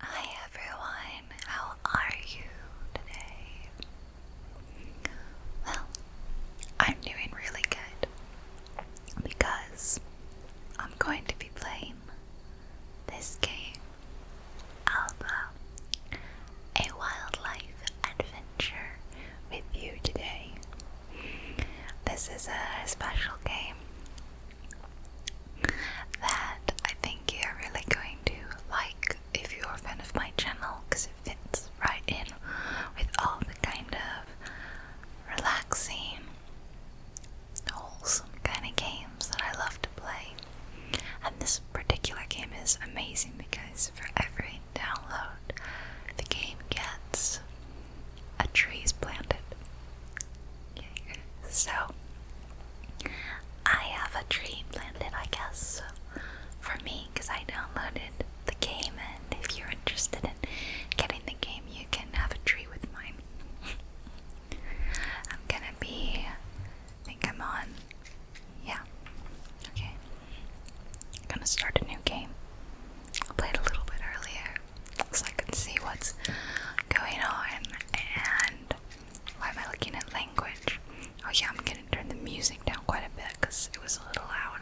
Hi everyone, how are you today? Well, I'm doing really good because I'm going to be playing this game, Alba, a wildlife adventure with you today. This is a special game that I think you're really going to like if you're a fan of my channel because it fits right in with all the kind of relaxing, wholesome kind of games that I love to play. And this particular game is amazing because for every download, the game gets a tree is planted. So, I have a dream planted, I guess, for me, because I downloaded the game, and if you're interested in getting the game, you can have a tree with mine. I'm gonna be. I think I'm on. Yeah. Okay. I'm gonna start a new game. I played a little bit earlier so I can see what's going on and why am I looking at language? Oh, yeah, I'm gonna turn the music down quite a bit because it was a little loud.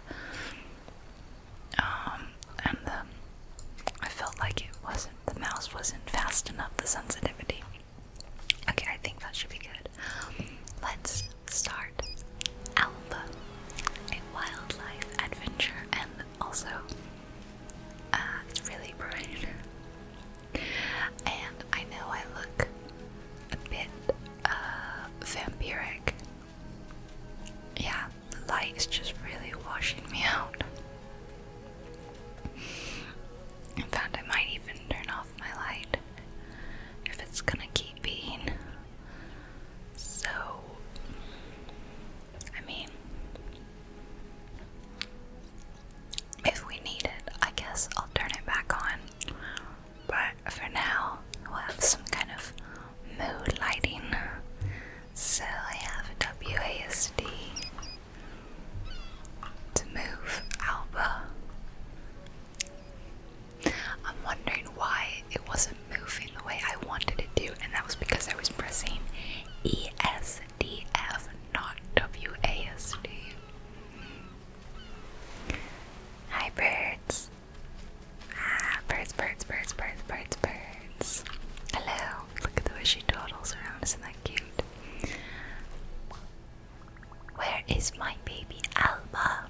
Um, and the, I felt like it wasn't, the mouse wasn't fast enough, the sensitivity. Okay, I think that should be good. Let's start Alpha, a wildlife adventure and also uh, it's really bright. And I know I look a bit uh, vampiric. Yeah, the light is just really washing me out. In fact, I might even turn off my light if it's gonna keep being so I mean, if we need it, I guess I'll turn it back on. But for now, we'll have some kind of mood lighting. So I have WASD to move Alba. I'm wondering why it wasn't moving the way I wanted it to, and that was because I was pressing E S. DF, not WASD. Hi, birds. Ah, birds, birds, birds, birds, birds, birds. Hello. Look at the way she dawdles around. Isn't that cute? Where is my baby Alba?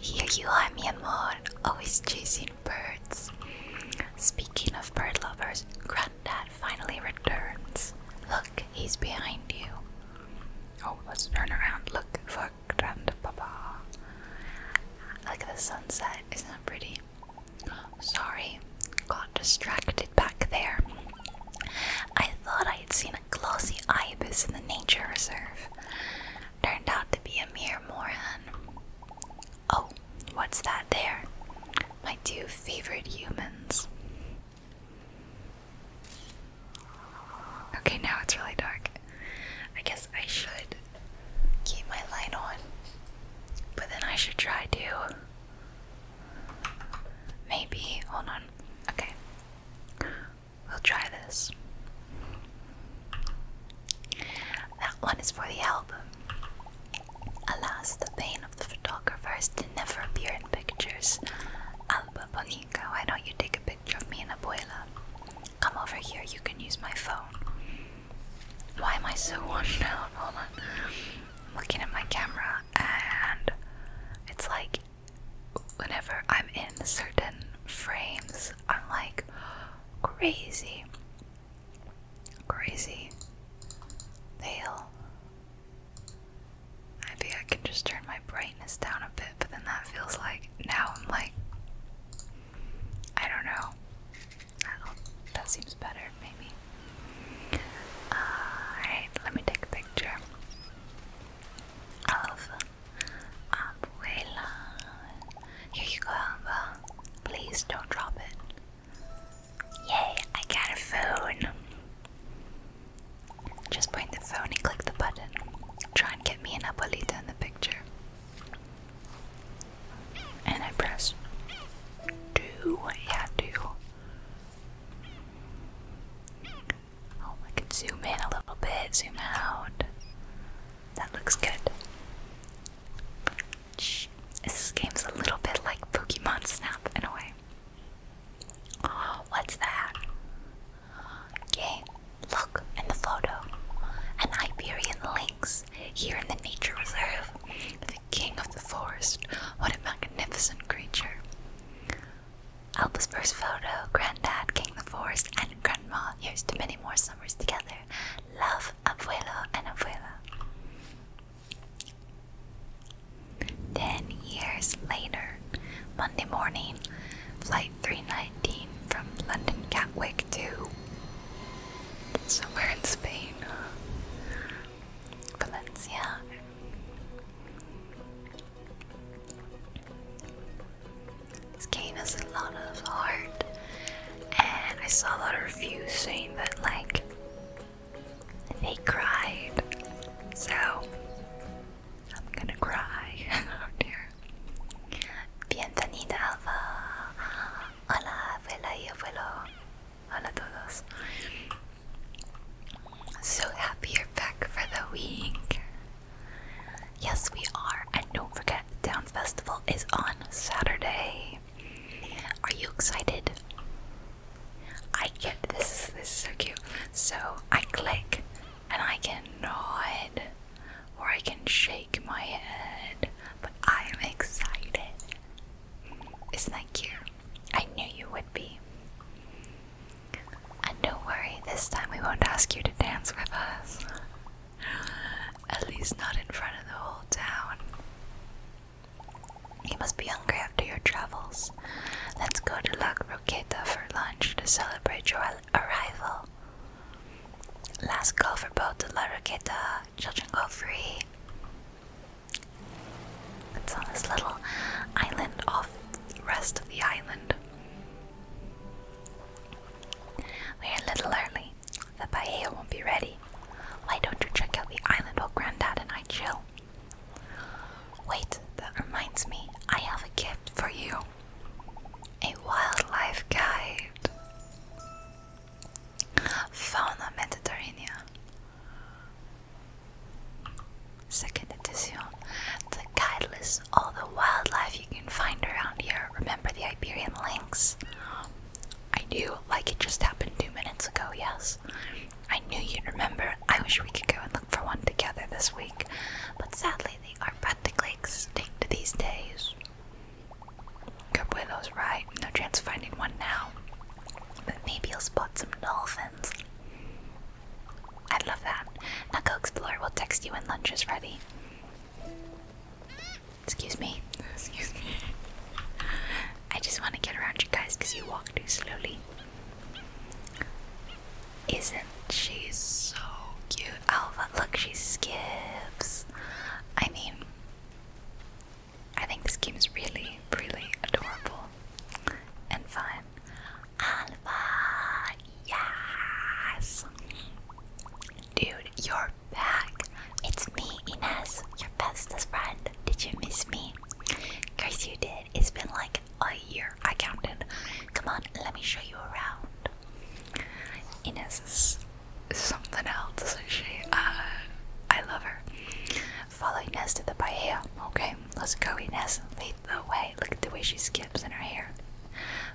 Here you are, mi amor. Always chasing birds. Speaking of bird lovers, that finally returns. Look, he's behind you. Oh, let's turn around. Look for Grandpapa. Look at the sunset. Isn't that pretty? Sorry, got distracted back there. I thought I had seen a glossy ibis in the nature reserve. Turned out to be a mere moran. Oh, what's that there? My two favorite humans. Okay, now it's really dark. I guess I should keep my light on, but then I should try to. Maybe. Hold on. Okay. We'll try this. That one is for the album. Alas, the pain of the photographers to never appear in pictures. Alba Bonica, why don't you take a picture of me in a boiler? Come over here, you can use my phone. Why am I so washed out? Hold on. I'm looking at my camera, and it's like whenever I'm in certain frames, I'm like crazy. Crazy. The hill. I can just turn my brightness down a bit, but then that feels like now I'm like I don't know. that seems better, maybe. Alright, let me take a picture of Abuela. Here you go, Alba. Please don't drop it. Yay, I got a phone. Just point the phone and click the button. Try and get me an abuelita in the picture. And I press do. Yeah, do. Oh, I could zoom in a little bit, zoom out. That looks good. This game's a little bit like Pokemon Snap in a way. what's that? Yay, look in the photo. An Iberian lynx here in the nature reserve. The king of the forest. What a magnificent creature. Alba's first photo, Granddad, King of the Forest, and Grandma. Here's to many more summers together. Love, Abuelo and Abuela. Ten years later, Monday morning, Flight 319 from London Gatwick to somewhere in Spain, Valencia. This game has a lot of heart, and I saw a lot of reviews saying that, like, they cried. So I'm gonna cry. oh dear. Bienvenida Alba. Hola, abuela y abuelo. Hola todos. So happy you're back for the week. Yes, we are. And don't forget, the Down Festival is on Saturday. Are you excited? I get this is this is so cute. So I click and I can nod or I can shake my head. But I'm excited. Isn't that cute? I knew you would be. And don't worry, this time we won't ask you to dance with us. At least not in front of the whole town. You must be hungry after your travels. Let's go to La Croqueta for lunch to celebrate your arrival. Last call for boat to La Roqueta. Children go free. It's on this little island off the rest of the island. We're a little early. The paella won't be ready. Why don't you check out the island while Granddad and I chill? Wait, that reminds me, I have a gift for you a wildlife guide. Fauna Mediterranea. Second edition. The guide lists all the wildlife you can find around here. Remember the Iberian lynx, I do, like it just happened two minutes ago, yes. I knew you'd remember. I wish we could go and look for one together this week, but sadly they are practically extinct these days. Good boy, those right? No chance of finding one now. But maybe you'll spot some dolphins. I'd love that. Now go explore. We'll text you when lunch is ready. Excuse me. Excuse me. I just want to get around you guys because you walk too slowly. Isn't she so cute? Alva, look, she skips. I mean, I think this game is really, really adorable and fun. Alva, yes. Dude, your back. It's me, Ines, your bestest friend. Did you miss me? Cause you did. It's been like a year. I counted. Come on, let me show you around. Ines is something else. isn't She, uh, I love her. Follow Ines to the bahia. Okay, let's go, Ines. Lead the way. Look at the way she skips in her hair.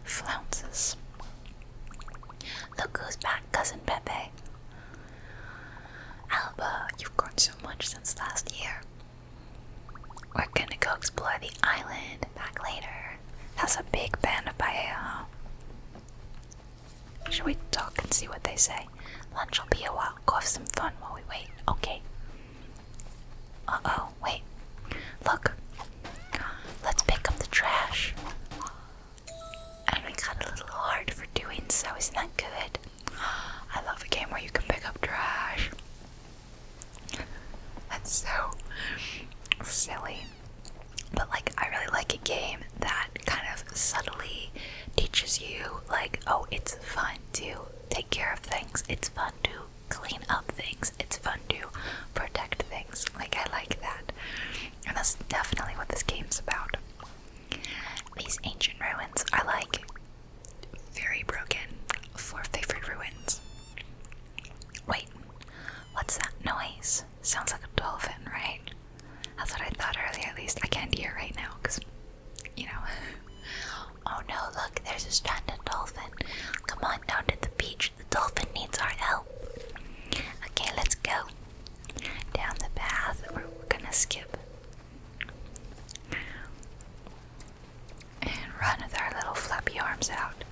Flounces. Look who's back, cousin Pepe. Alba, you've grown so much since last year. We're gonna go explore the island back later. That's a big band of paella. Should we talk and see what they say? Lunch will be a while. Go have some fun while we wait. Okay. Uh oh, wait. Look. Let's pick up the trash. And we got a little hard for doing so. Isn't that good? I love a game where you can pick up trash. That's so silly. But like I really like a game that kind of subtly teaches you like, oh, it's fun to take care of things. It's fun to clean up things. It's fun to protect things. Like I like that. And that's definitely what this game's about. These ancient ruins are like very broken for favorite ruins. Wait, what's that noise? Sounds like a dolphin, right? That's what I thought earlier, at least. I can't hear right now because, you know. oh no, look, there's a stranded dolphin. Come on down to the beach. The dolphin needs our help. Okay, let's go down the path we're, gonna skip and run with our little flappy arms out.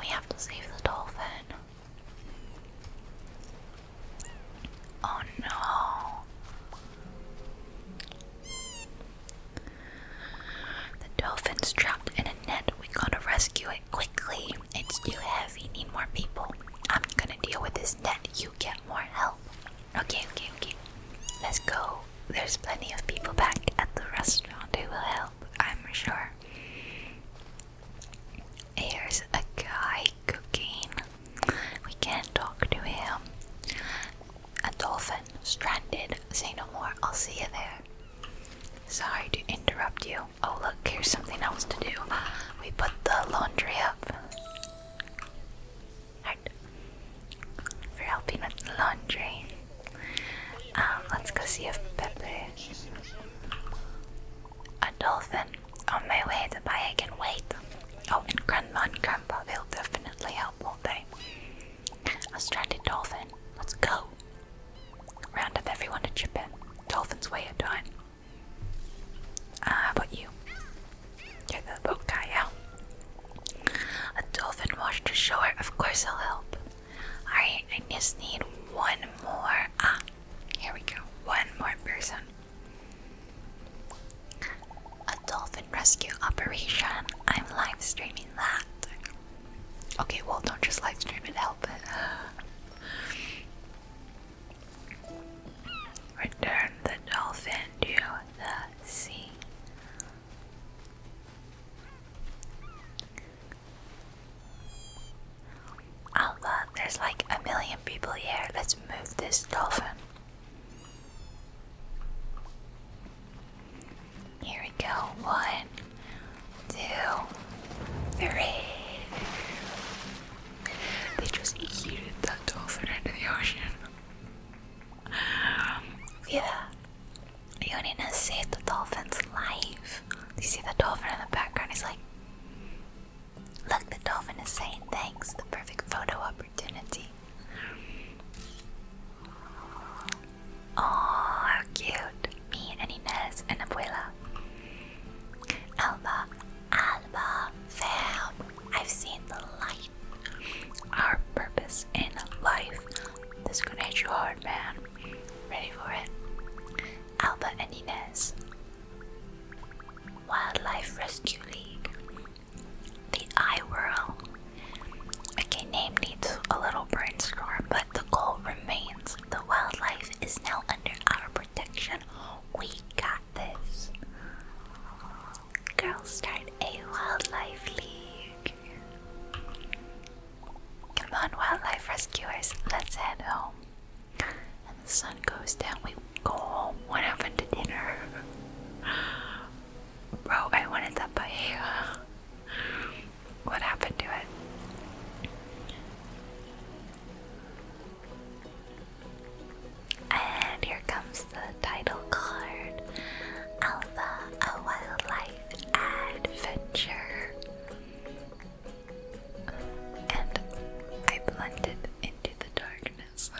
We have to save the dolphin. Oh no. The dolphin's trapped in a net. We gotta rescue it quickly. It's too heavy. Need more people. I'm gonna deal with this net. You get more help. Okay, okay, okay. Let's go. There's plenty of people back at the restaurant who will help, I'm sure. Here's a guy cooking. We can't talk to him. A dolphin stranded. Say no more. I'll see you there. Sorry to interrupt you. Oh, look, here's something else to do. We put the laundry up. For helping with the laundry. Um, let's go see if Pepe. A dolphin. On my way to buy, I can wait. Oh, and Grandma and Grandpa, they'll definitely help, won't they? A stranded dolphin. Let's go. Round up everyone to chip in. Dolphins weigh a ton. Uh, about you? Check that A dolphin washed ashore. Of course, I'll help. Alright, I just need one more. Ah, here we go. One more person. A dolphin rescue operation. I'm live streaming that. Okay, well, don't just live stream it, help Return the dolphin to the sea. Allah, there's like a million people here. Let's move this dolphin. Here we go. One, two, three. They just eat that dolphin into the ocean. Yeah. You need to the dolphin's life. You see the dolphin in the background, he's like, Look, the dolphin is saying thanks, the perfect photo opportunity. Oh, how cute. Me and and Abuela. Alba, Alba found. I've seen the light. Our purpose in life. This is gonna hit you hard, man. Ready for it? Alba and Inez. Wildlife Rescue League. The Eye Whirl. Okay, name needs a little brainstorm, but the goal remains. The wildlife is now under our protection. We got this. Girls start a wildlife league. Come on, wildlife rescuers, let's head home. And the sun goes down, we go home. What happened to dinner? Bro, I wanted that paella. What happened to it? And here comes the title card Alpha, a wildlife adventure. And I blended into the darkness.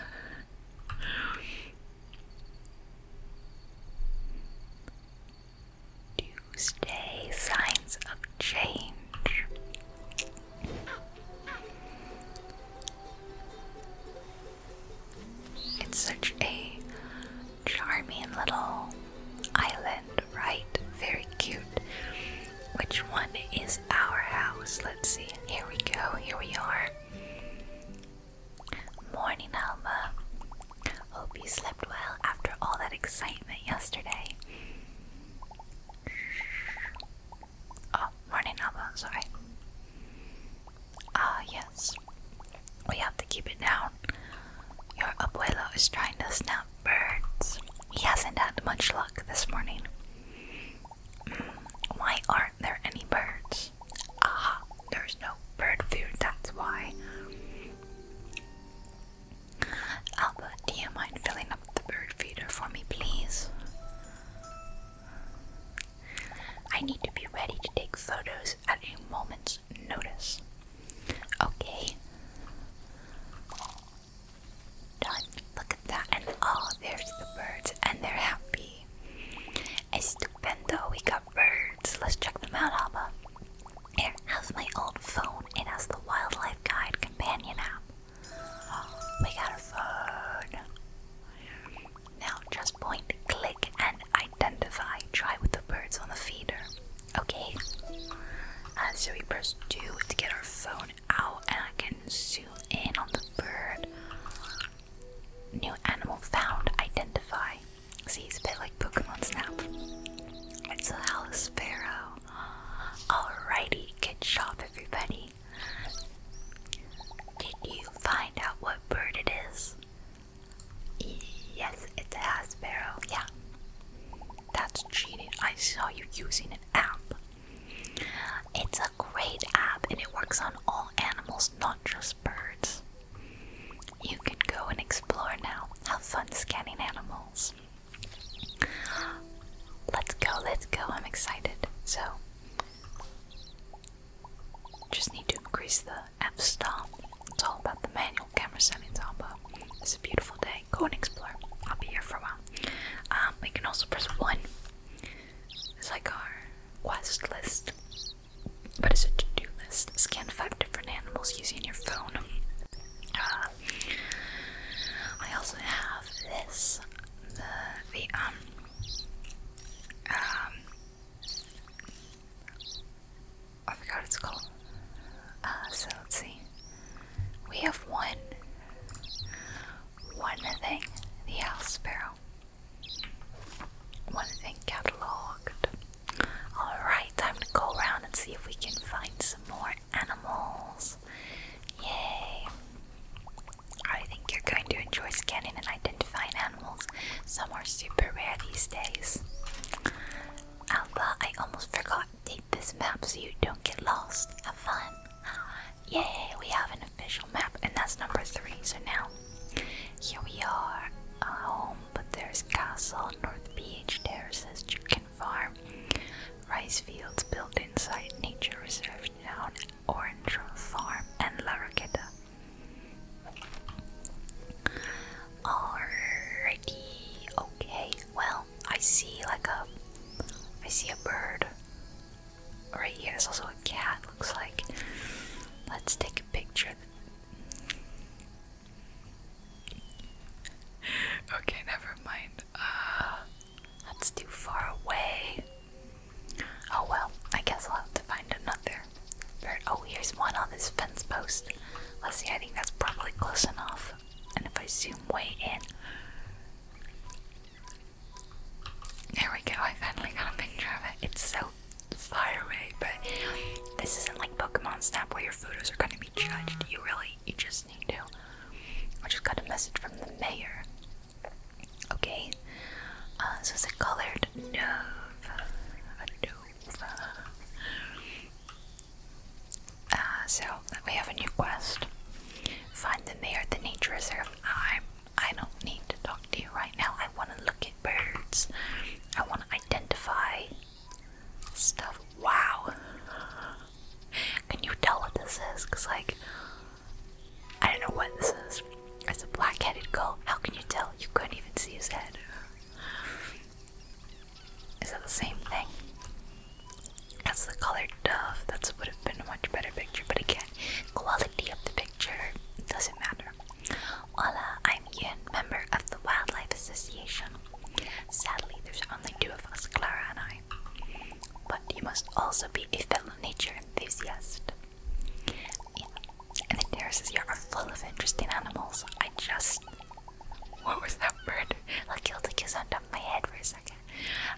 Tuesday, signs of change. It's such a charming little island, right? Very cute. Which one is our house? Let's see. Here we go. Here we are. Morning, Alma. Hope you slept well after all that excitement yesterday. Oh, morning Alba, sorry. Ah, yes. We have to keep it down. Your abuelo is trying to snap birds. He hasn't had much luck this morning. Mm, why aren't there any birds? Ah, there's no bird food, that's why. Alba, do you mind filling the bird feeder for me, please? I need to be ready to take photos at a moment's notice. Okay. Done. Look at that. And oh, there's the birds, and they're happy. stupendo, we got birds. Let's check them out, Alba. Here, how's my old phone? It has the Wildlife Guide companion app. We got a phone. Now just point, click, and identify. Try with the birds on the feeder. Okay. Uh, so we press 2 to get our phone out, and I can zoom in on the bird. New animal found. Identify. See, it's a bit like Pokemon Snap. It's a hell sparrow. Alrighty, good job, everybody. Did you find out what bird it is? Yes, it's a hat Yeah. That's cheating. I saw you using an app. It's a great app and it works on all animals, not just birds. You can go and explore now. Have fun scanning animals. Let's go, let's go. I'm excited. So, just need to increase the F stop It's all about the manual camera settings, but it's a beautiful day. Go and explore. I'll be here for a while. Um, we can also press 1. It's like our quest list, but it's a to do list. Scan 5 different animals using your phone. Uh, I also have this the um, um I forgot it's called. Uh, so let's see. We have one one thing, the house sparrow. One thing cataloged. Alright, time to go around and see if we can find some more animals. Yay! I think you're going to enjoy scanning and identifying animals. Some are super rare these days. Alba, I almost forgot. Take this map so you don't get lost. Have fun. Yay, we have an official map, and that's number three. So now, here we are, a home, but there's castle, North Beach, there. Says chicken farm, rice fields built inside nature reserve town, Orange Grove Farm, and Larraqueta. Alrighty, okay. Well, I see like a, I see a bird. Right here, there's also a cat. Looks like. Let's take a picture. okay, never mind. Uh, that's too far away. Oh well, I guess I'll have to find another. Oh, here's one on this fence post. Let's see, I think that's probably close enough. And if I zoom way in. There we go, I finally got a picture of it. It's so far away, but this isn't like Pokemon Snap where your photos are gonna be judged. You really, you just I just got a message from the mayor. Okay, uh, so it's a colored dove. Uh, so we have a new quest. Find the mayor at the nature reserve. I I don't need to talk to you right now. I want to look at birds. I want to identify stuff. Wow. Can you tell what this is? Because, like, I don't know what this is. It's a black headed gull. How can you tell? You couldn't even see his head. Is that the same thing? That's the colored dove. That would have been a much better picture, but again, quality of the picture doesn't matter. Hola, I'm Yin, member of the Wildlife Association. Sadly, there's only two of us, Clara and I but you must also be a fellow nature enthusiast. Yeah. And the terraces here are full of interesting animals. I just. What was that bird? I killed a kiss on my head for a second.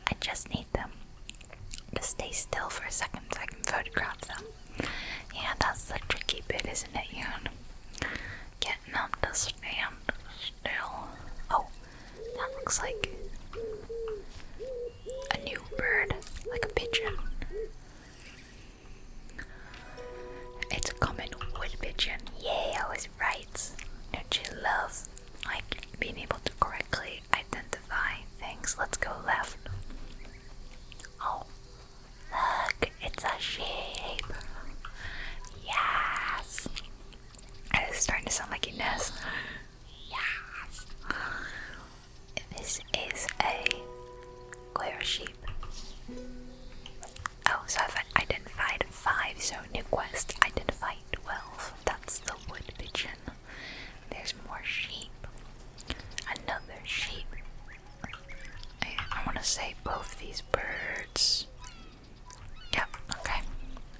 I just need them to stay still for a second so I can photograph them. Yeah, that's the tricky bit, isn't it, Yoon? Get them to stand still. Oh, that looks like a new bird, like a pigeon. It's a common wood pigeon. Yay, I was right. Don't you love like being able to correctly identify things? Let's go left. Oh, look, it's a shape. Yes. It's starting to sound like Ines. Yes. This is a queer sheep. Oh, so I've identified five. So new quest identified twelve. That's the wood pigeon. There's more sheep. Another sheep. I want to say both these birds Yep, okay.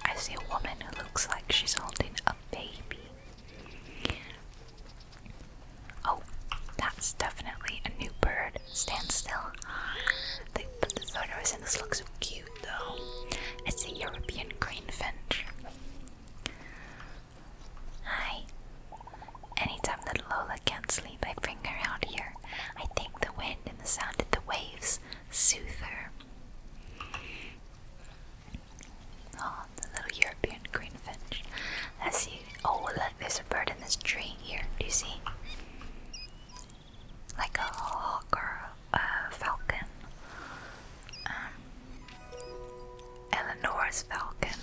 I see a woman who looks like she's holding a baby. Oh, that's definitely a new bird. Stand still. They put the photos in. This looks cute though. It's a European greenfinch. Hi. Anytime that Lola can't sleep, I bring her out here. I take the wind and the sound of the waves Soother. Oh, the little European greenfinch. I see. Oh, there's a bird in this tree here. Do you see? Like a hawk or a falcon. Um, Eleanor's falcon.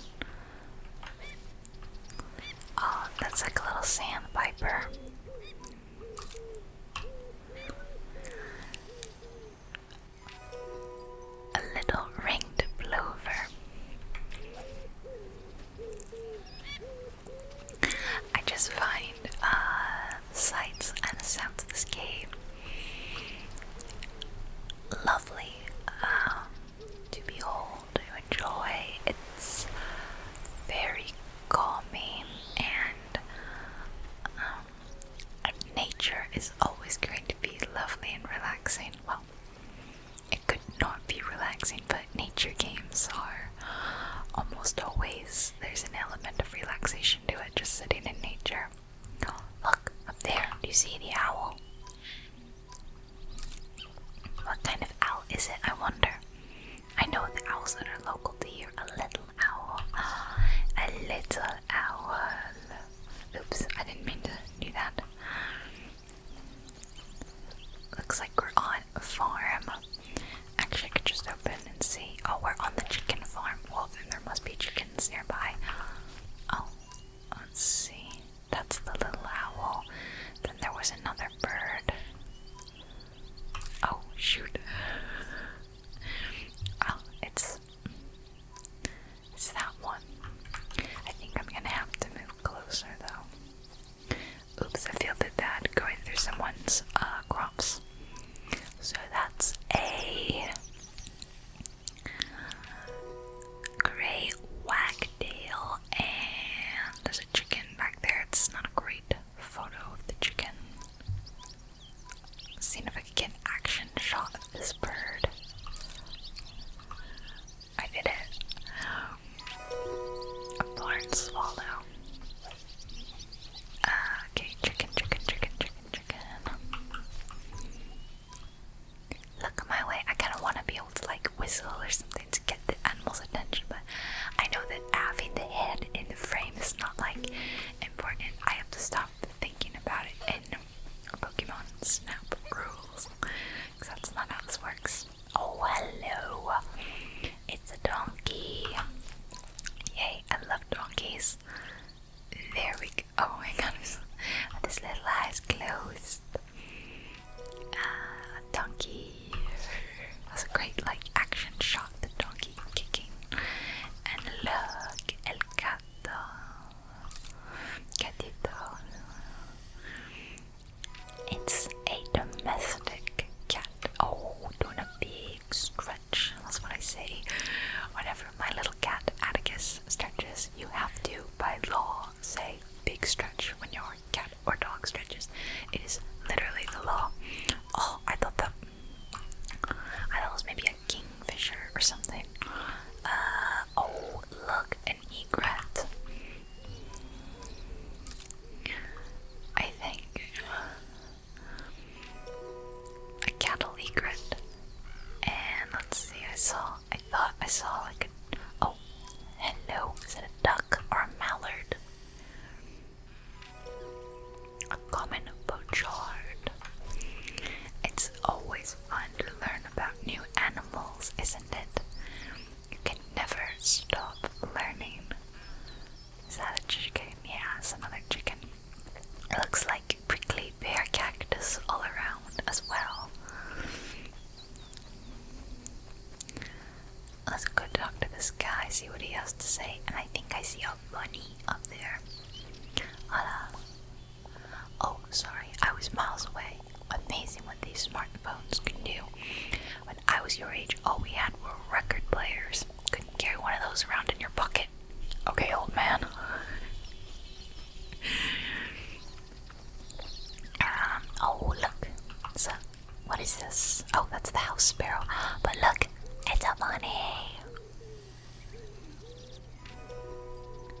Oh, that's like a little sandpiper. A little ringed plover. I just find uh, sights and sounds of this game lovely um, to behold, to enjoy. It's very calming and and um, nature is always going to be lovely and relaxing. Well, it could not be relaxing, but nature games are almost always there's an element of relaxation to it, just sitting in nature. look up there, do you see the owl? What kind of owl is it? I wonder. I know the owls that are local to here a little owl. A little owl. Oops, I didn't mean to do that. Looks like we're on a farm. Actually, I could just open and see. Oh, we're on the chicken farm. Well, then there must be chickens nearby. Oh, let's see. That's the little owl. Then there was another bird. Oh, shoot. Oh, it's it's that one. I think I'm gonna have to move closer though. Oops, I feel a bit bad going through someone's uh, crops. So that's a gray wagtail, and there's a chicken back there. It's not a great photo of the chicken. Seeing if I could get an action shot of this bird. I did it. A barn swallow. okay, chicken, chicken, chicken, chicken, chicken. Look my way. I kind of want to be able to like whistle or something to get the animal's attention, but I know that having the head in the frame is not like important. I have to stop thinking about it in Pokemon Snap rules. that's not how this works. Oh, hello! It's a donkey. Yay, I love donkeys. There we go. Oh my god, this little eye's closed. Ah, donkey. That's a great, like, action shot. The donkey kicking, And look, el gato. Gatito. It's a domestic cat. Oh, doing a big stretch. That's what I say. Whenever my little cat Atticus stretches, you have to, by law, say big stretch when your cat or dog stretches. It is literally the law. Oh, I thought that I thought it was maybe a kingfisher or something. Uh, oh, look, an egret. I think a cattle egret. And let's see, I saw, I thought I saw like a, oh, hello, is it a duck or a mallard? A common pochard. It's always fun to learn about new animals, isn't it? You can never stop learning. Is that a chicken? Yeah, it's another chicken. It looks like prickly pear cactus all around as well. Let's go talk to this guy, see what he has to say, and I think I see money up there. Hola. Oh, sorry, I was miles away. Amazing what these smartphones can do. When I was your age, all oh, we had were record players. Couldn't carry one of those around in your pocket. Okay, old man. um, oh, look. So, what is this? Oh, that's the house sparrow. But look, it's a bunny.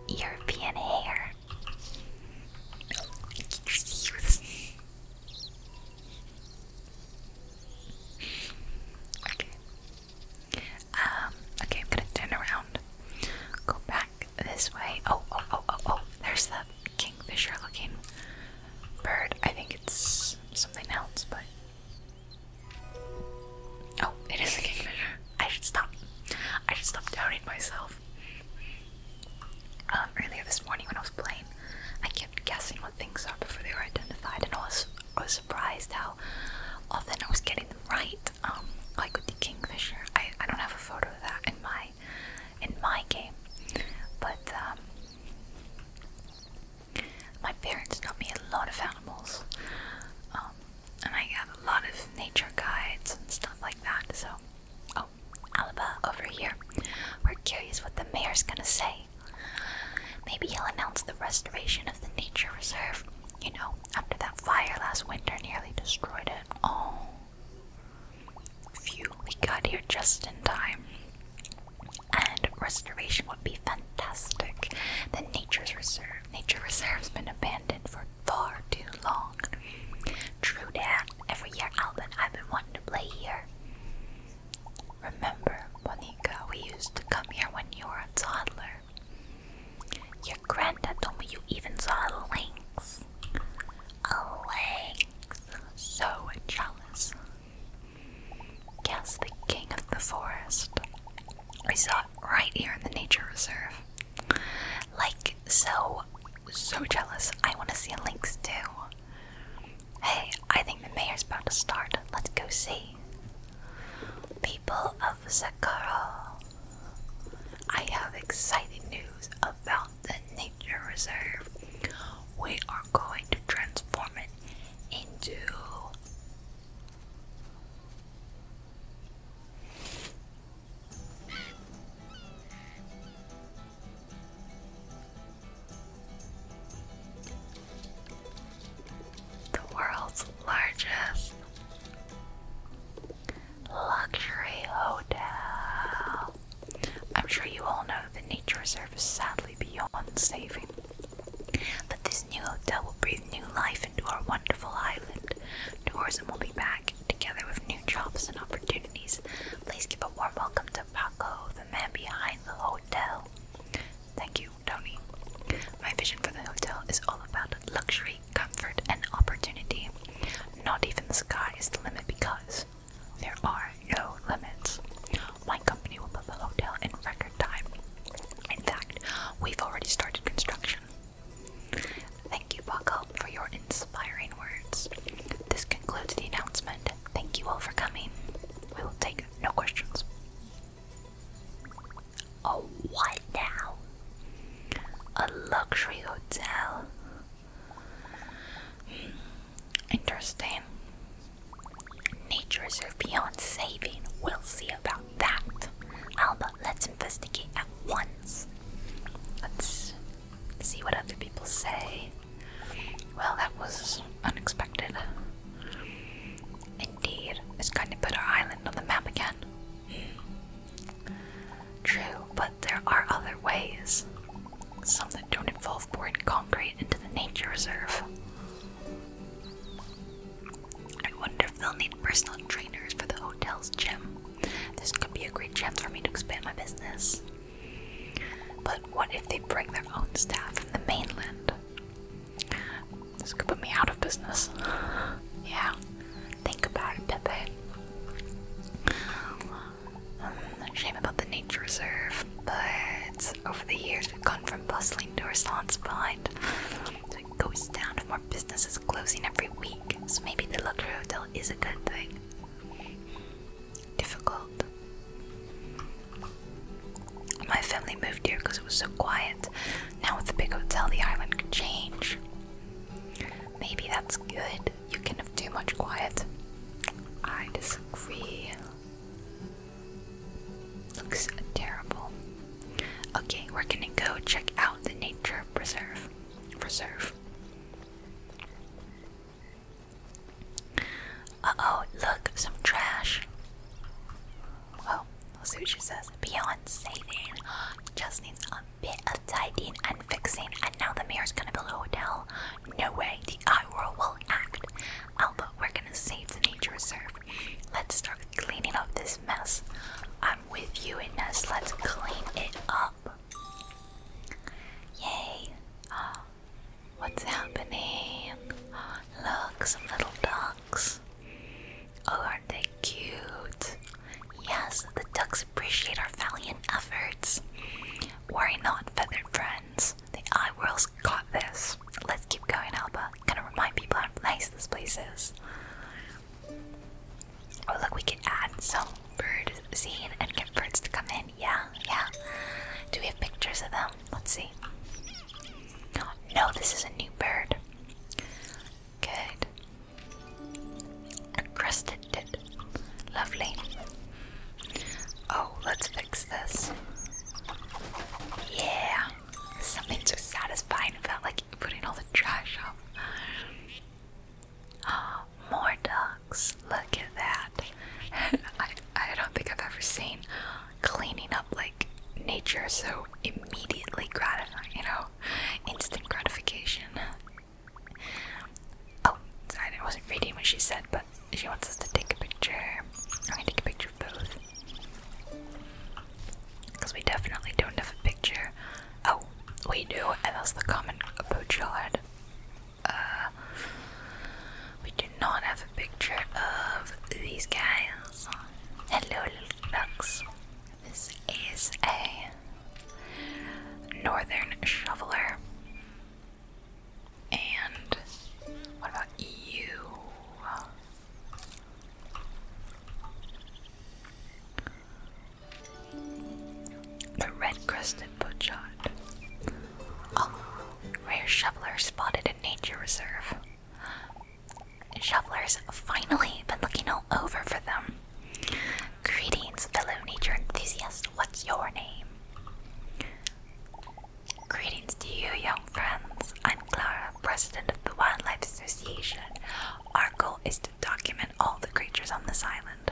European hare. okay. Um. Okay, I'm gonna turn around. Go back this way. Oh, oh, oh, oh, oh. There's the kingfisher-looking bird. I think it's something else, but Oh, it is a kingfisher. I should stop. I should stop doubting myself. Um, earlier this morning when I was playing, I kept guessing what things are before they were identified, and I was, I was surprised how often I was getting them right. Um, like with the kingfisher, I, I don't have a photo of that in my in my game, but um, my parents taught me a lot of animals, um, and I have a lot of nature guides and stuff like that. So, oh, over here. We're curious what the mayor's gonna say. Maybe he'll announce the restoration of the nature reserve. You know, after that fire last winter nearly destroyed it. Oh, phew, we got here just in time and restoration would be fantastic. The nature's reserve, nature reserve's been abandoned for far too long. True that. Every year, Alvin, I've been wanting to play here. Remember, Monica, we used to come here when you were a toddler. Your granddad told me you even saw lynx. A lynx. So jealous. Yes, the king of the forest. I saw it right here in the nature reserve. Like, so, so jealous. I want to see a lynx too. Hey, I think the mayor's about to start. Let's go see. People of Sakura, I have exciting news about the nature reserve. We are going to transform it into the world's largest luxury hotel. I'm sure you all know the nature reserve is sadly beyond saving. But this new hotel will breathe new life into our wonderful island. Tourism will be back, together with new jobs and opportunities. Please give a warm welcome to Paco, the man behind the hotel. Thank you, Tony. My vision for the hotel is all about luxury, comfort, and opportunity. Not even the sky is the limit because there are no limits. My company will build the hotel in record time. In fact, we've already started construction. Thank you, Buckle, for your inspiring words. This concludes the announcement. Thank you all for coming. We will take no questions. Oh, what now? A luxury hotel? Hmm, interesting. Nature reserve beyond saving. We'll see about that. Alba, let's investigate at once. Let's see what other people say. Well, that was unexpected. Indeed, it's going to put our island on the map again. True, but there are other ways. Some that don't involve pouring concrete into the nature reserve. I wonder if they'll need personal trainers for the hotel's gym. This could be a great chance for me to expand my business. But what if they bring their own staff from the mainland? This could put me out of business. yeah, think about it, Pepe. Um, shame about the nature reserve, but over the years we've gone from bustling to a salons behind. it goes down with more businesses closing every week. So maybe the luxury hotel is a good thing. Difficult. My family moved here because it was so quiet. Now with the big hotel, the island could change. Maybe that's good. You can have too much quiet. I disagree. Looks terrible. Okay, we're gonna go check out the nature preserve. Preserve. Uh oh, look, some trash. Well, we'll see what she says. Beyond saving, just needs a bit of tidying and fixing. And now the mayor's gonna build a hotel. No way, the I world will act. Alba, oh, we're gonna save the nature reserve. Let's start cleaning up this mess. I'm with you, Ines. Let's clean it up. Yay! Ah, what's happening? look, some little ducks. Oh, aren't they cute? Yes, the ducks appreciate our valiant efforts. Worry not, feathered friends. The eye world's got this. Let's keep going, Alba. Gonna remind people how nice this place is. Oh look, we can add some bird scene and get birds to come in. Yeah, yeah. Do we have pictures of them? Let's see. No, this is a new bird. Good. crested tit. Lovely. Oh, let's fix this. Yeah. Something so satisfying about like putting all the trash up. Oh, more ducks. Look at that. I I don't think I've ever seen cleaning up like nature so immediately gratifying, you know, instant gratification. Oh, sorry, I wasn't reading what she said, but she wants us to take a picture. i take a picture both. Because we definitely don't have a picture. Oh, we do, and that's the common poachyard. Uh, we do not have a picture of these guys. Hello, little ducks. This is a northern shoveler. And what about you? The red-crested pochot. Oh, rare shoveler spotted in nature reserve. Shovelers finally been looking all over for them. Greetings, fellow nature enthusiasts. What's your name? Greetings to you, young friends. I'm Clara, president of the Wildlife Association. Our goal is to document all the creatures on this island.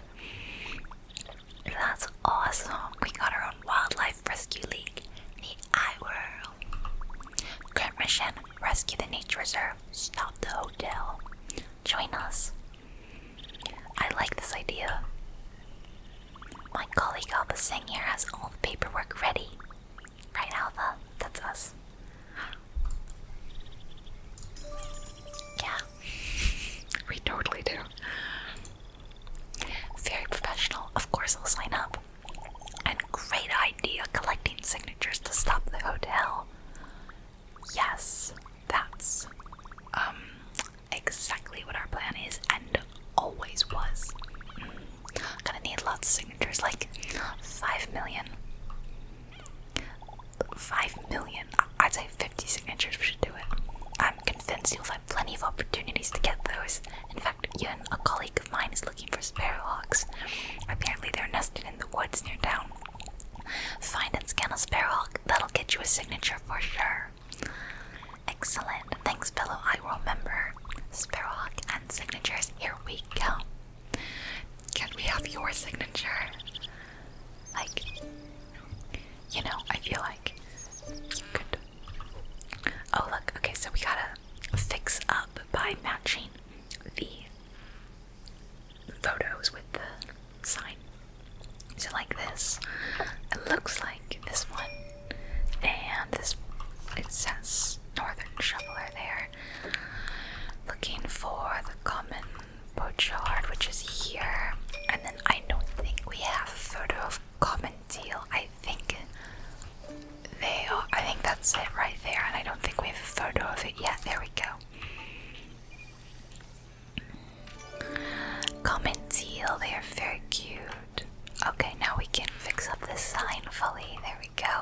That's awesome. We got our own Wildlife Rescue League, the iWorld. Current mission rescue the nature reserve, stop the hotel. Join us. I like this idea. My colleague Alpha Singh here has all the paperwork ready. Right, Alpha? That's us. Yeah. we totally do. Very professional. Of course, I'll sign up. And great idea collecting signatures to stop the hotel. Yes, that's um exactly what our plan is, and always was. Gonna need lots of signatures, like five million. Five million. I'd say fifty signatures. We should do it. I'm convinced you'll find plenty of opportunities to get those. In fact, even a colleague of mine is looking for sparrowhawks. Apparently, they're nesting in the woods near town. Find and scan a sparrowhawk. That'll get you a signature for sure. Excellent. Thanks, fellow I remember. Sparrowhawk and signatures. Here we go. Can we have your signature? Like, you know, I feel like you could. Oh, look. Okay, so we gotta fix up by matching the photos with the sign. So, like this, it looks like this one and this it says Northern Shoveler there. Looking for the common pochard, which is here. And then I don't think we have a photo of common deal. I think they are I think that's it right there, and I don't think we have a photo of it yet. There we go. Common deal, they are very cute. Okay, now we can fix up this sign fully. There we go.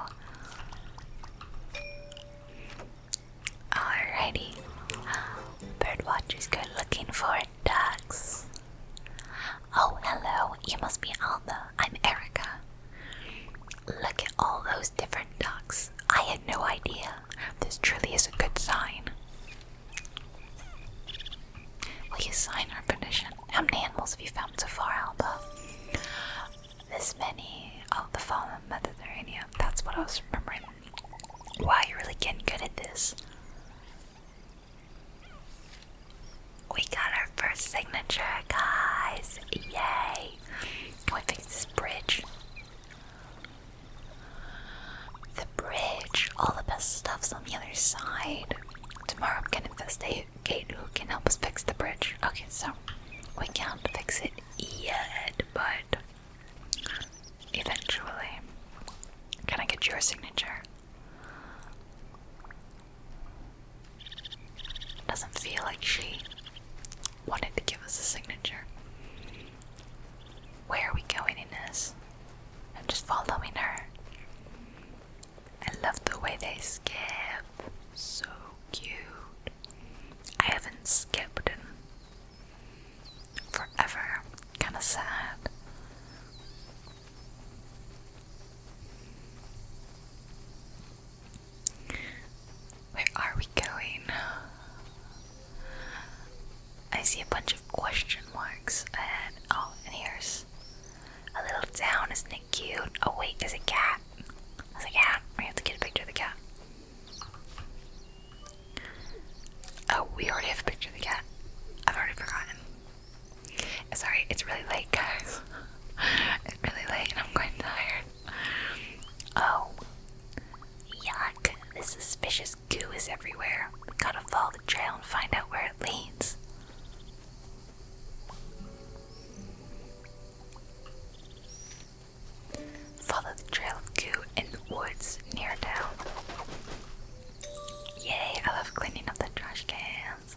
Alrighty. Birdwatchers go looking for ducks. Oh, hello. You must be Alma. I'm Erica. Look at all those different ducks. I had no idea. This truly is a good sign. Will you sign our petition? How many animals have you found so far, Alba? This many. Oh, the fallen Mediterranean. That's what I was remembering. Wow, you're really getting good at this. We got our first signature, guys! Yay! Can we fix this bridge? The bridge, all the best stuff's on the other side. Tomorrow I'm gonna investigate who can help us fix the bridge. Okay, so we can't fix it yet, but eventually. Can I get your signature? Doesn't feel like she wanted to give us a signature. Where are we going in this? I'm just following her. I love the way they skip. So cute. I haven't skipped in forever. Kinda sad. Where are we going? I see a bunch of question marks ahead. Oh, and here's a little town, isn't it cute? Oh wait, there's a cat. There's a cat. We have to get a picture of the cat. Oh, we already have a picture of the cat. I've already forgotten. Sorry, it's really late, guys. it's really late and I'm quite tired. Oh. Yuck. This suspicious goo is everywhere. We gotta follow the trail and find out where it leads. Follow the trail of goo in the woods near town. Yay, I love cleaning up the trash cans.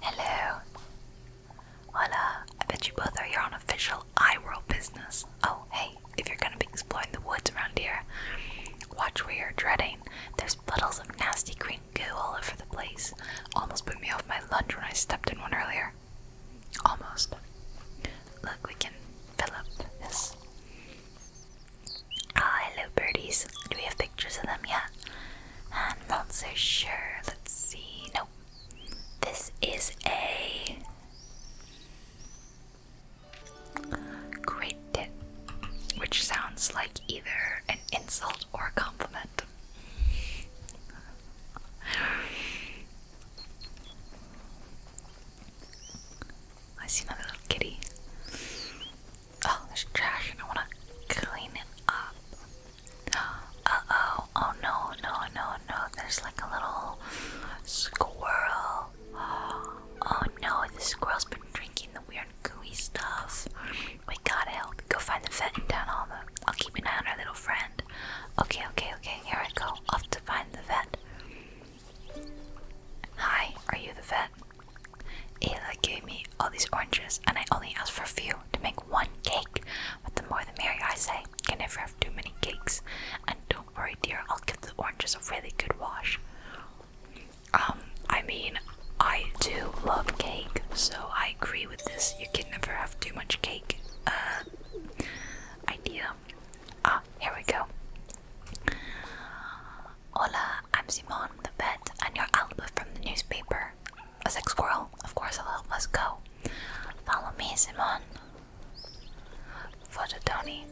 Hello. Hola, I bet you both are your own official iWorld business. Oh, hey, if you're gonna be exploring the woods around here, watch where you're treading. There's there's puddles of nasty green goo all over the place. Almost put me off my lunch when I stepped in one earlier. Almost. Look, we can fill up this. Ah, oh, hello, birdies. Do we have pictures of them yet? I'm not so sure. Let's see. Nope. This is a. Great which sounds like either an insult or a compliment. I see another little kitty. Oh, there's trash and I wanna clean it up. Uh oh, oh no, no, no, no, there's like a little squirrel. Oh no, the squirrel's been drinking the weird gooey stuff. We gotta help. Go find the vet in Town Alma. I'll keep an eye on our little friend. Okay, okay, okay, here I go. Off to find the vet. Hi, are you the vet? Ayla gave me all these oranges, and I only asked for a few to make one cake. But the more the merrier, I say. Can never have too many cakes. And don't worry, dear, I'll give the oranges a really good wash. Um, I mean, I do love cake, so I agree with this. You can never have too much cake. Uh, idea. Ah, here we go. Hola, I'm Simon, the vet, and your Alba from the newspaper. A sex squirrel, of course, I'll help us go. Follow me, Simon. Vote Tony.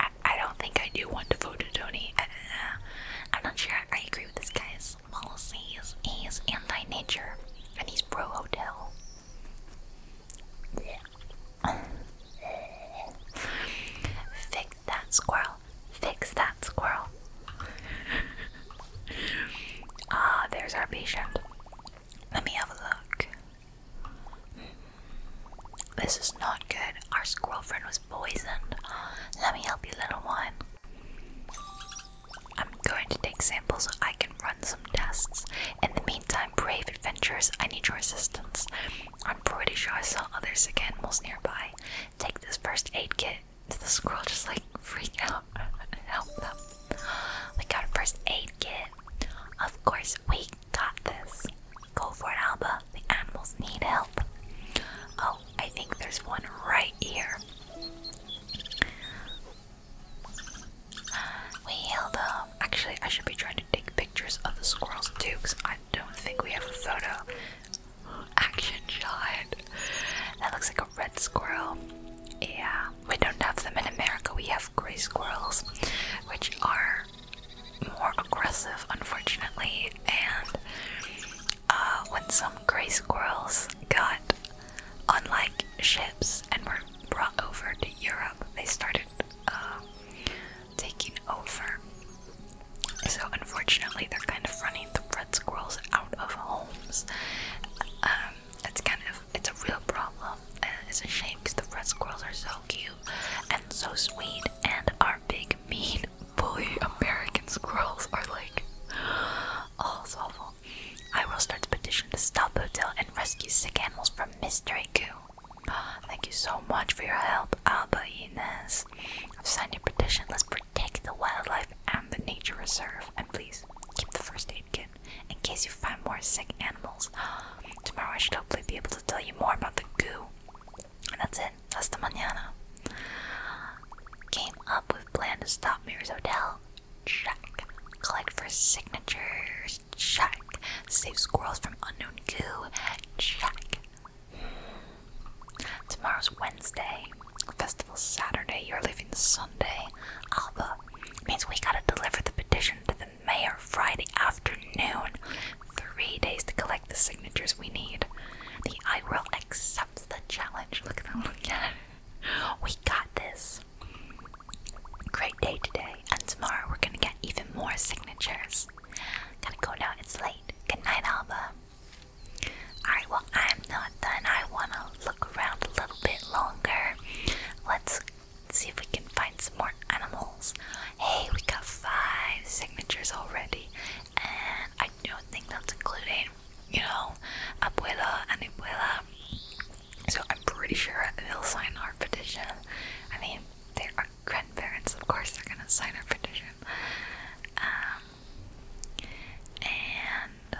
I, I don't think I do want to vote Tony. I, I'm not sure I agree with this guy's policies. He's anti nature and he's pro hotel. Fix that squirrel. Fix that squirrel. ah, there's our patient. Let me have a look. This is not good. Our squirrel friend was poisoned. Let me help you, little one. I'm going to take samples so I can run some tests. In the meantime, brave adventurers, I need your assistance. I'm pretty sure I saw other sick animals nearby. Take this first aid kit. Did the squirrel just like freak out and help them? We got a first aid kit. Of course, we got this. Go for it, Alba. The animals need help. Oh, I think there's one right here. We healed up. Um, actually, I should be trying to take pictures of the squirrels too, I don't think we have a photo. Action shot. That looks like a red squirrel. Yeah, we don't have them in America. We have gray squirrels, which are more aggressive, unfortunately, and uh, when some gray squirrels got on like ships and were brought over to Europe, they started uh, taking over. So unfortunately, they're kind of running the red squirrels out of homes. Um, it's kind of it's a real problem. Uh, it's a shame because the red squirrels are so cute and so sweet and are big, mean fully American squirrels are like, awful. I will start a petition to stop hotel and rescue sick animals from Mystery Goo. Thank you so much for your help, Alba Inez. I've signed your petition. Let's protect the wildlife and the nature reserve. And please keep the first aid kit in case you find more sick animals. Tomorrow I should hopefully be able to tell you more about the goo that's it. That's the manana. Came up with plan to stop Mayor's hotel. Check. Collect for signatures. Check. Save squirrels from unknown goo. Check. Tomorrow's Wednesday. Festival Saturday. You're leaving Sunday. Alba. Means we gotta deliver the petition to the mayor Friday afternoon. Three days to collect the signatures we need. The IRL accepts the challenge. Look at that little cat. We got this. Great day today, and tomorrow we're gonna get even more signatures. Gotta go now, it's late. Good night, Alba. Alright, well, I'm not done. I wanna look around a little bit longer. Let's see if we can find some more animals. Hey, we got five signatures already, and I don't think that's including, you know, Abuela and Abuela. So I'm pretty sure they'll sign our petition. I mean, they are grandparents, of course, they're gonna sign our petition. Um, and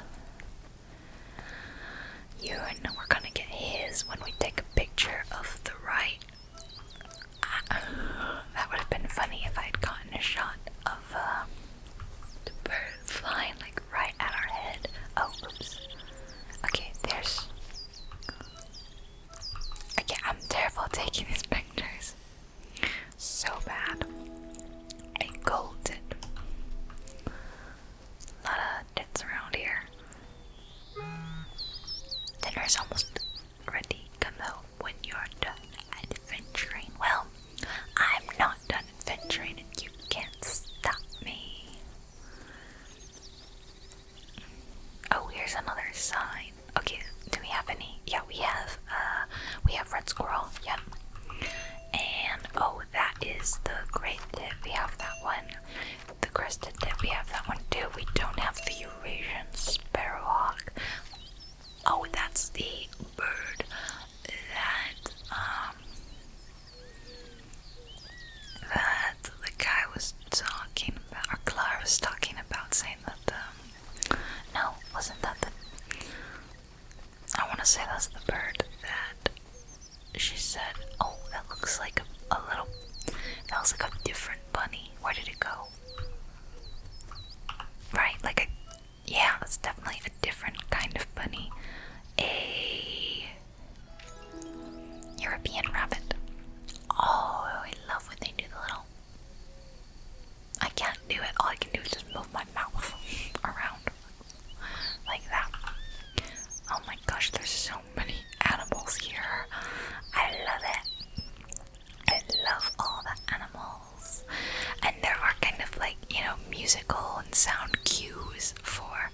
you and we're gonna get his when we take a picture of the right that would have been funny if I had gotten a shot of a uh, bird flying like right at our head. Oh, Okay, there's. Okay, I'm terrible taking these pictures. So bad. I gold it. A lot of dents around here. Dinner's almost ready, come home when you're done adventuring. Well, I'm not done adventuring and you can't stop me. Oh, here's another sign. Okay, do we have any? Yeah, we have uh we have red squirrel, yep. And oh that is the great tip. We have that one. The crested tip, we have that one too. We don't have the Eurasian sparrowhawk. Oh, that's the bird that um that the guy was talking about, Our Clara was talking about, saying that um no, wasn't that the I want to say that's the bird that she said, "Oh, that looks like a, little, that was like a different bunny. Where did it go?" Right, like a yeah, that's definitely a different kind of bunny. A European rabbit. Oh, I love when they do the little I can't do it. All I can do is just move my mouth around like that. Oh my gosh, there's so many animals here. I love it. I love all the animals. And there are kind of like, you know, musical and sound cues for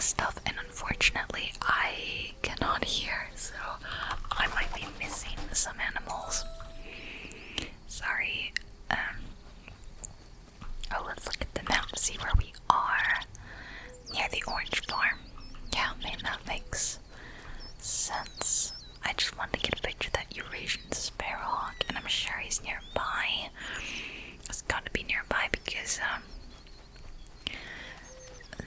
stuff, and unfortunately, I cannot hear, so I might be missing some animals. Sorry. Um, oh, let's look at the map see where we are. Near the orange farm. Yeah, man, that makes since I just wanted to get a picture of that Eurasian sparrowhawk, and I'm sure he's nearby. It's got to be nearby because um,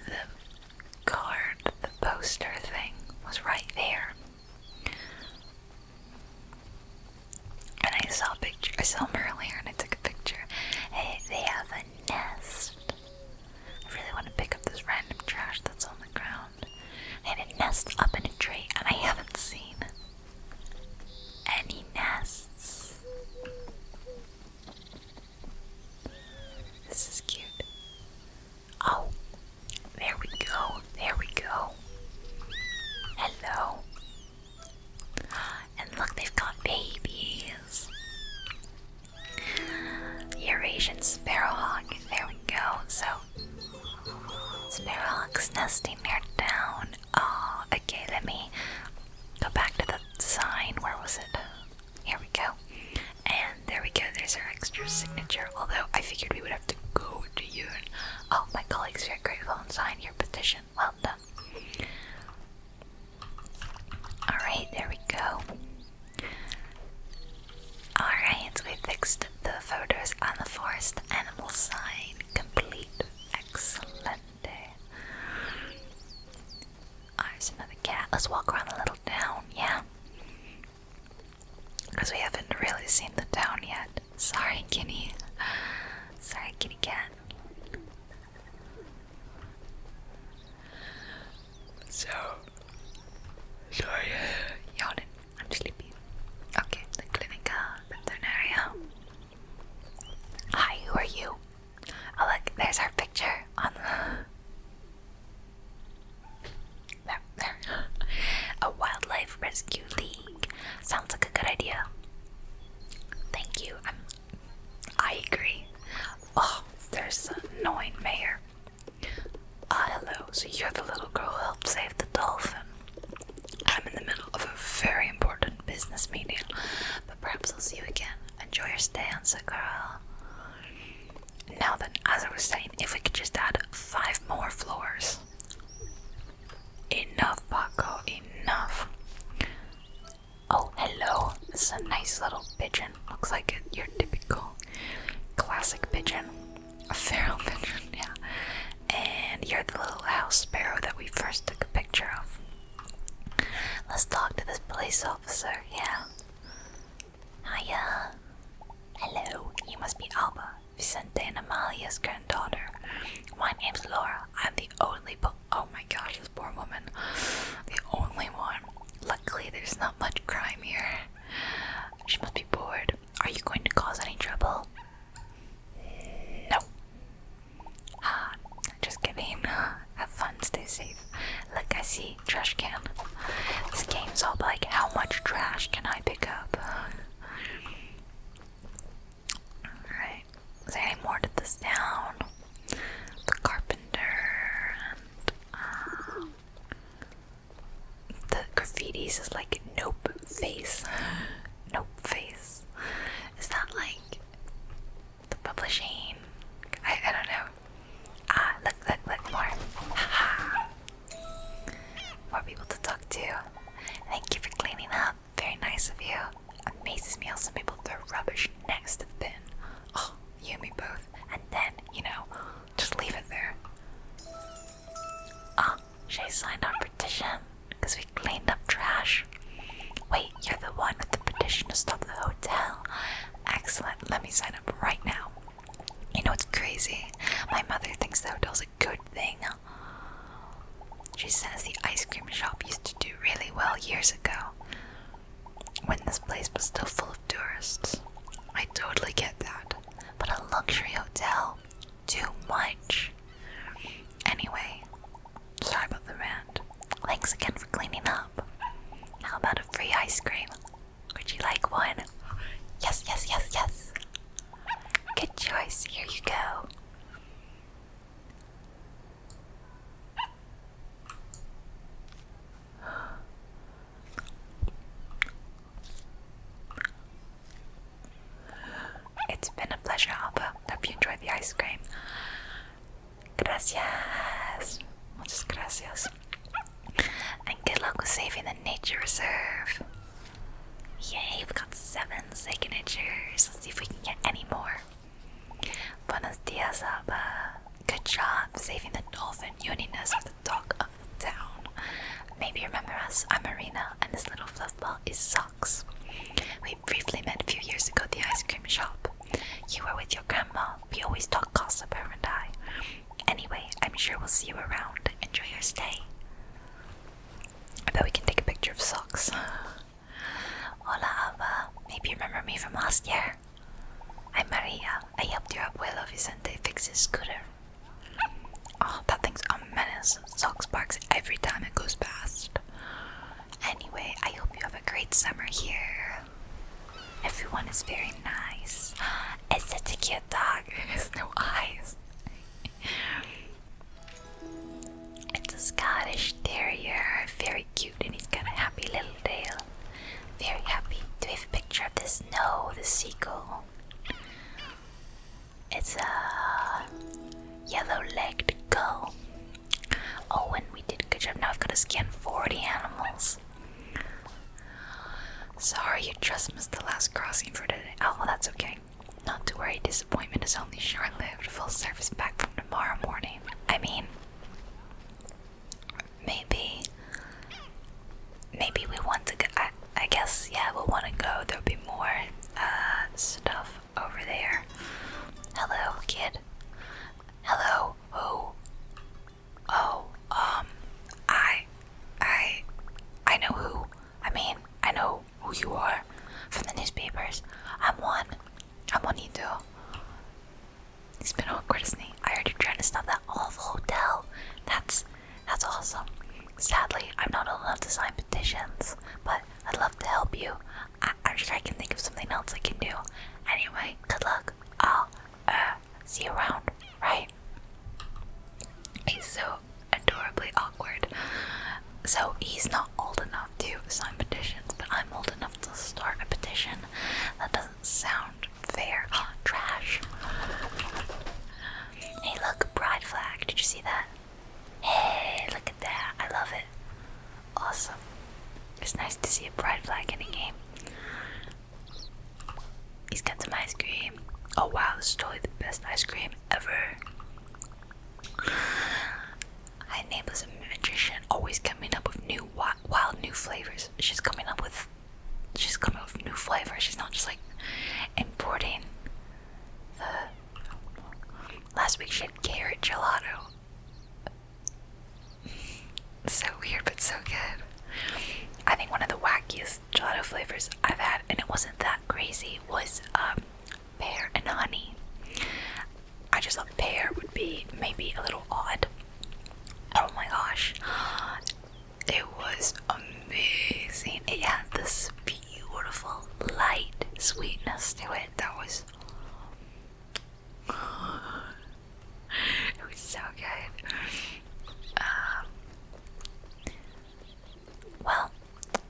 the card, the poster thing, was right there. And I saw a picture. I saw him earlier, and I took a picture. Hey, they have a nest. I really want to pick up this random trash that's on the ground around, and it nests up in a tree, and I haven't seen any nests. This is cute. Oh, there we go, there we go. Hello. And look, they've got babies. Eurasian sparrowhawk. There we go. So, sparrowhawks nesting near down. Oh, okay. Let me go back to the sign. Where was it? Here we go. And there we go. There's our extra signature. Although I figured we would have to go to you. Oh, my colleagues here grateful and sign your petition. Well done. Alright, there we go. Alright, we fixed the photos on the forest animal sign. Complete. Excellent. There's another cat. Let's walk around the little town, yeah? Because we haven't really seen the town yet. Sorry, kitty. Sorry, kitty cat. So, sorry, yawning. I'm sleepy. Okay, the Clinica Veterinaria. Hi, who are you? Oh, look, there's our picture on There, there. A wildlife rescue league. Sounds like a good idea. Thank you. i I agree. Oh, there's an annoying mayor. Ah, hello. So you're the little girl who helped save the dolphin. I'm in the middle of a very important business meeting, but perhaps I'll see you again. Enjoy your stay on Sakura. Now then, as I was saying, if we could just add five more floors. Enough, Paco, enough. Oh, hello. This is a nice little pigeon. Looks like it, your typical Classic pigeon. A feral pigeon, yeah. And you're the little house sparrow that we first took a picture of. Let's talk to this police officer, yeah. Hiya. Hello, you must be Alba, Vicente and Amalia's granddaughter. My name's Laura. I'm the only oh my gosh, this poor woman. The only one. Luckily, there's not much crime here. She must be bored. Are you going to cause any trouble? No. Ah, just kidding. Uh, have fun, stay safe. Look, I see trash can. This game's all about how much trash can I pick up? Alright. Is any more to this town? The carpenter uh, the graffitis is like nope face. Nope face. Is that like the publishing? I, I don't know. Ah, look, look, look more. Haha. more people to talk to. Thank you for cleaning up. Very nice of you. Amazes me how some people throw rubbish next to the bin. Oh, you and me both. And then, you know, just leave it there. Ah, she signed our petition because we cleaned up trash. Wait, you're the one with the petition to stop the hotel. Excellent, let me sign up right now. You know what's crazy? My mother thinks the hotel's a good thing. She says the ice cream shop used to do really well years ago when this place was still full of tourists. I totally get that. But a luxury hotel, too much. Anyway, sorry about the rant. Thanks again for cleaning up. How about a free ice cream? Would you like one? Yes, yes, yes, yes. Good choice. Here you go. It's been a pleasure, Alba. Hope you enjoyed the ice cream. Gracias. Muchas gracias. And good luck with saving the nature reserve. Yay, we got seven signatures. Let's see if we can get any more. Buenos dias, Alba. Good job saving the dolphin uniness of the dog of the town. Maybe you remember us. I'm Marina, and this little fluff ball is Socks. We briefly met a few years ago at the ice cream shop. You were with your grandma. We always talk gossip, over and I. Anyway, I'm sure we'll see you around. Enjoy your stay. I bet we can take a picture of Socks. Hola, Ava. Maybe you remember me from last year car. i Maria. I helped your abuelo Vicente fix his scooter. Oh, that thing's a Socks barks every time it goes past. Anyway, I hope you have a great summer here. Everyone is very nice. It's such a cute dog. It has no eyes. it's a Scottish terrier. Very cute, and he's got a happy little tail. Very happy. Do we have a picture of this? No, the seagull. It's a yellow-legged gull. Oh, and we did a good job. Now I've got to scan 40 animals. Sorry, you just missed the last crossing for today. Oh, that's okay. Not to worry, disappointment is only short lived. Full service back from tomorrow morning. I mean, maybe maybe we want to go I, guess yeah we'll want to go there'll be more uh, stuff over there hello kid hello oh oh um I I I know who I mean I know who you are from the newspapers I'm Juan I'm Juanito He's been awkward, isn't he? I heard you're trying to stop that awful hotel. That's that's awesome. Sadly, I'm not allowed to sign petitions, but I'd love to help you. I, am sure I can think of something else I can do. Anyway, good luck. I'll uh, see you around, right? He's so adorably awkward. So he's not old enough to sign petitions, but I'm old enough to start a petition. That doesn't sound fair. Oh, trash. Hey, look, pride flag. Did you see that? Hey, look at that. I love it. Awesome. It's nice to see a pride flag in a game. He's got some ice cream. Oh wow, this is totally the best ice cream ever. Hi Nabla's a magician, always coming up with new wild new flavors. She's coming up with she's coming with new flavors. She's not just like importing the. Last week she had carrot gelato. So weird, but so good. I think one of the wackiest gelato flavors I've had, and it wasn't that crazy, was um, pear and honey. I just thought pear would be maybe a little odd. Oh my gosh. It was amazing. It had this beautiful light sweetness to it that was it was so good. Um, well,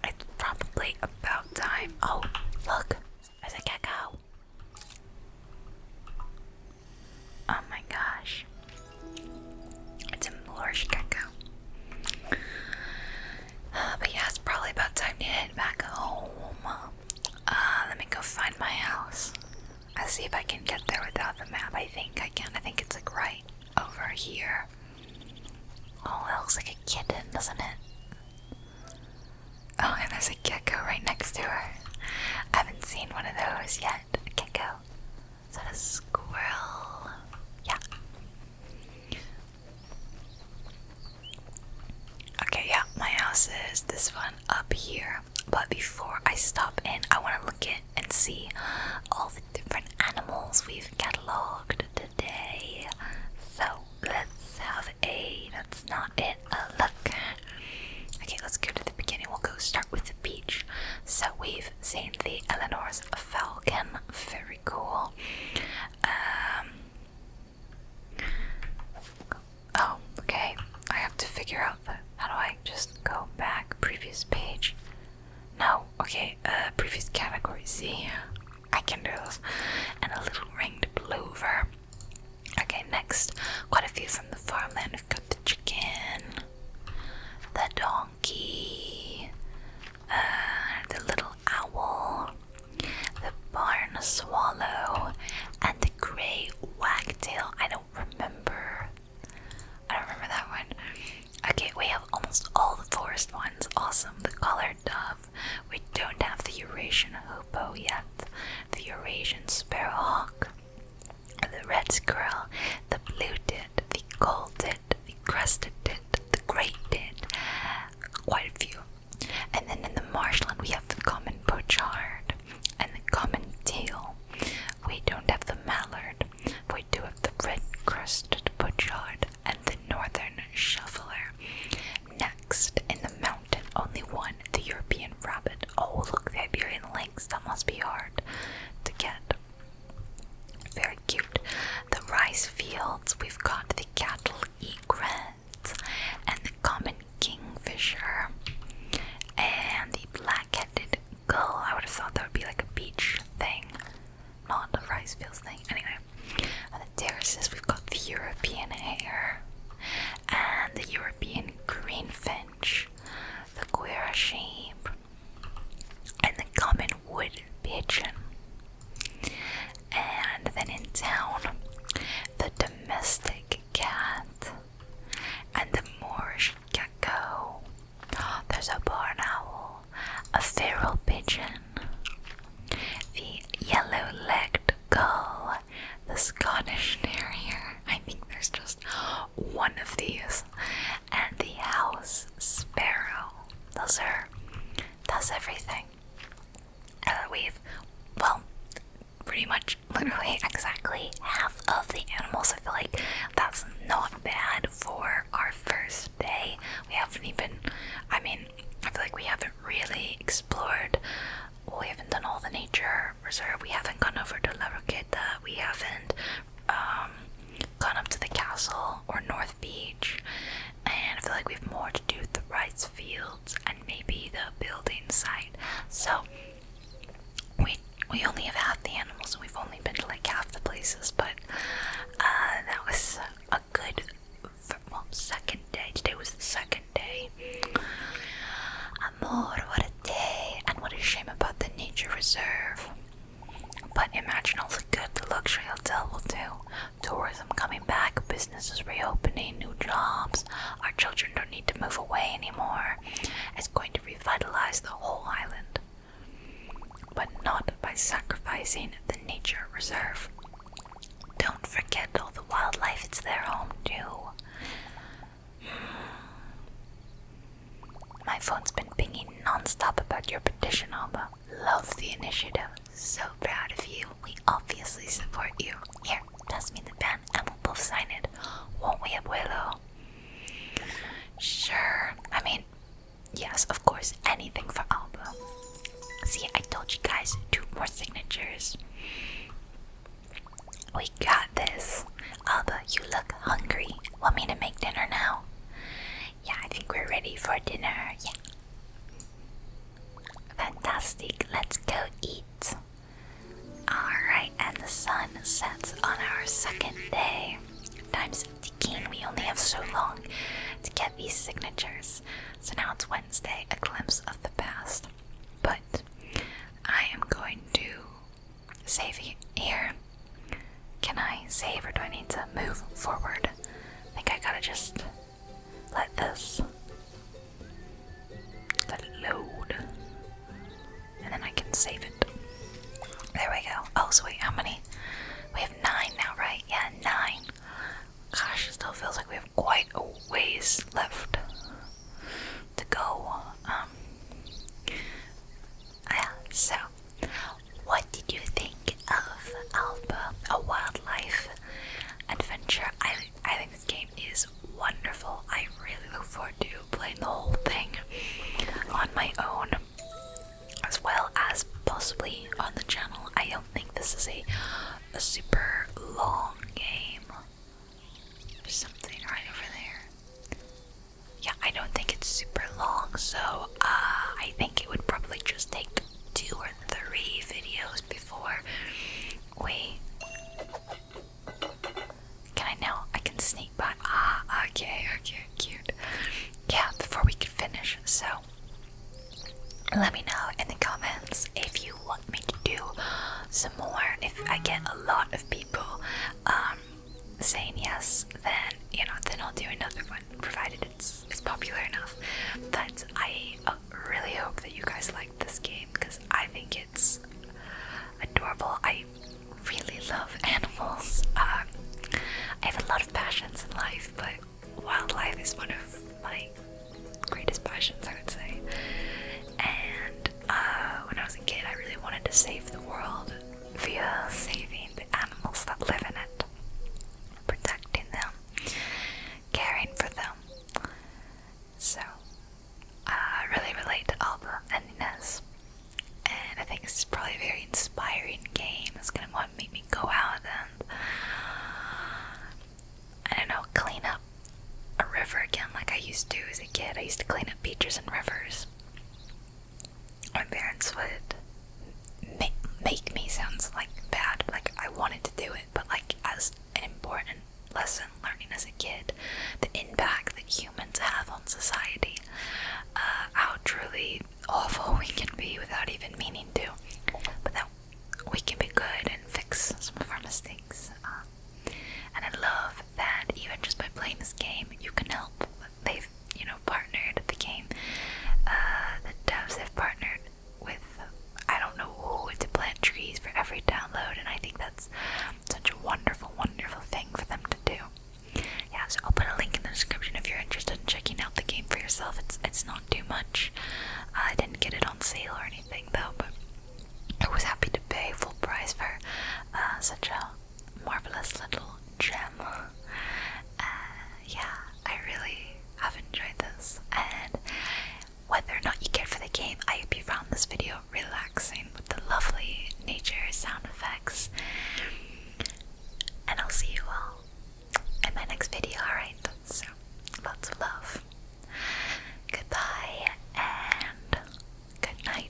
it's probably about time. Oh, look, there's a gecko. Oh my gosh. It's a Moorish gecko. Uh, but yeah, it's probably about time to head back home. Uh, let me go find my house. I'll see if I can get there without the map. I think I can. I think it's like right over here. Oh, it looks like a kitten, doesn't it? Oh, and there's a gecko right next to her. I haven't seen one of those yet. A gecko. Is that a squirrel? Yeah. Okay, yeah, my house is this one up here. But before I stop in, I want to look at and see all the different animals we've catalogued today. So let's have a that's not it look. Okay, let's go to the beginning. We'll go start with the beach. So we've seen the Eleanor's Falcon. Very cool. Um, oh, okay. I have to figure out how do I just go back? Previous page. No, okay, uh, previous category Z. I can do this. And a little ringed plover. Okay, next, quite a few from the farmland. We've got the chicken, the donkey, uh, the little owl, the barn swallow, and the grey wagtail. I don't remember. I don't remember that one. Okay, we have almost all the forest ones. Awesome. The colored dove. We don't have the Eurasian hoopoe yet. The Eurasian sparrowhawk the red squirrel, the blue tit, the gold tit, the crested tit, the great tit, quite a few. And then in the marshland, we have the common pochard and the common teal. We don't have the mallard, we do have the red crested pochard and the northern shoveler. Next, in the mountain, only one, the European rabbit. Oh, look, the Iberian lynx. That must be hard to get. Very cute. The rice fields. We've got the cattle egret and the common kingfisher and the black-headed gull. I would have thought that would be like a beach thing, not a rice fields thing. Anyway, on the terraces we've got the European hare and the European greenfin the queer sheep, and the common wood pigeon. And then in town, the domestic cat and the Moorish gecko. There's a barn owl, a feral pigeon, the yellow legged gull, the Scottish terrier. I think there's just one of these. And the house sparrow. Those are that's everything. we've well pretty much literally exactly half of the animals. I feel like that's not bad for our first day. We haven't even I mean, I feel like we haven't really explored we haven't done all the nature reserve, we haven't gone over to La Roqueta, we haven't um, gone up to the castle or North Beach, and I feel like we have more to do with the rice fields and maybe the building site. So we we only have half the animals, and we've only been to like half the places. But uh, that was a good well second day. Today was the second day. Amor, what a day, and what a shame about the nature reserve. But imagine all the good the luxury hotel will do. Tourism coming back, businesses reopening, new jobs. Our children don't need to move away anymore. It's going to revitalize the whole island. But not by sacrificing the nature reserve. Don't forget all the wildlife, it's their home too. My phone's been pinging non-stop about your petition, Alba. Love the initiative. So proud of you. We obviously support you. Here, pass me the pen and we'll both sign it. Won't we, Abuelo? Sure. I mean, yes, of course. Anything for Alba. See, I told you guys, two more signatures. We got this. Alba, you look hungry. Want me to make dinner now? Yeah, I think we're ready for dinner. Yeah. Fantastic. Let's go eat. Alright, and the sun sets on our second day. Times 15. We only have so long to get these signatures. So now it's Wednesday, a glimpse of the past. But I am going to save here. Can I save or do I need to move forward? I think I gotta just let this load. And then I can save it. There we go. Oh, so wait, how many? We have nine now, right? Yeah, nine. Gosh, it still feels like we have quite a ways left to go. Um, yeah, so, what did you think of Alba, a wildlife adventure? I, I think this game is wonderful. I really look forward to playing the whole thing on my own, as well as possibly on the channel. I don't think this is a, super long game. something right over there. Yeah, I don't think it's super long, so uh, I think it would probably just take two or three videos before we. Can I now? I can sneak by. Ah, okay, okay, cute. Yeah, before we could finish, so let me know in the comments if you want me to do some more. If I get a lot of people um, saying yes, then you know, then I'll do another one, provided it's it's popular enough. But I uh, really hope that you guys like this game because I think it's adorable. I really love animals. Um, I have a lot of passions in life, but wildlife is one of my greatest passions, I would say. And uh, when I was a kid, I really wanted to save the world via saving the animals that live in it, protecting them, caring for them. So I really relate to all the Inez, and I think this is probably a very inspiring game. It's gonna want to make me go out and I don't know, clean up a river again like I used to as a kid. I used to clean up beaches and rivers my parents would make, make me sounds like bad like i wanted to do it but like as an important lesson learning as a kid the impact that humans have on society uh, how truly awful we can be without even meaning to but that we can be good and fix some of our mistakes um, and I love that even just by playing this game, you can help. They've, you know, partnered the game. Uh, the devs have partnered with, I don't know who, to plant trees for every download, and I think that's such a wonderful, wonderful thing for them to do. Yeah, so I'll put a link in the description if you're interested in checking out the game for yourself. It's it's not too much. I didn't get it on sale or anything though, but I was happy to pay full price for uh, such a marvelous little gem. Uh, yeah, I really have enjoyed this, and whether or not you care for the game, I hope you found this video relaxing with the lovely nature sound effects. And I'll see you all in my next video, alright? So, lots of love. Goodbye and good night.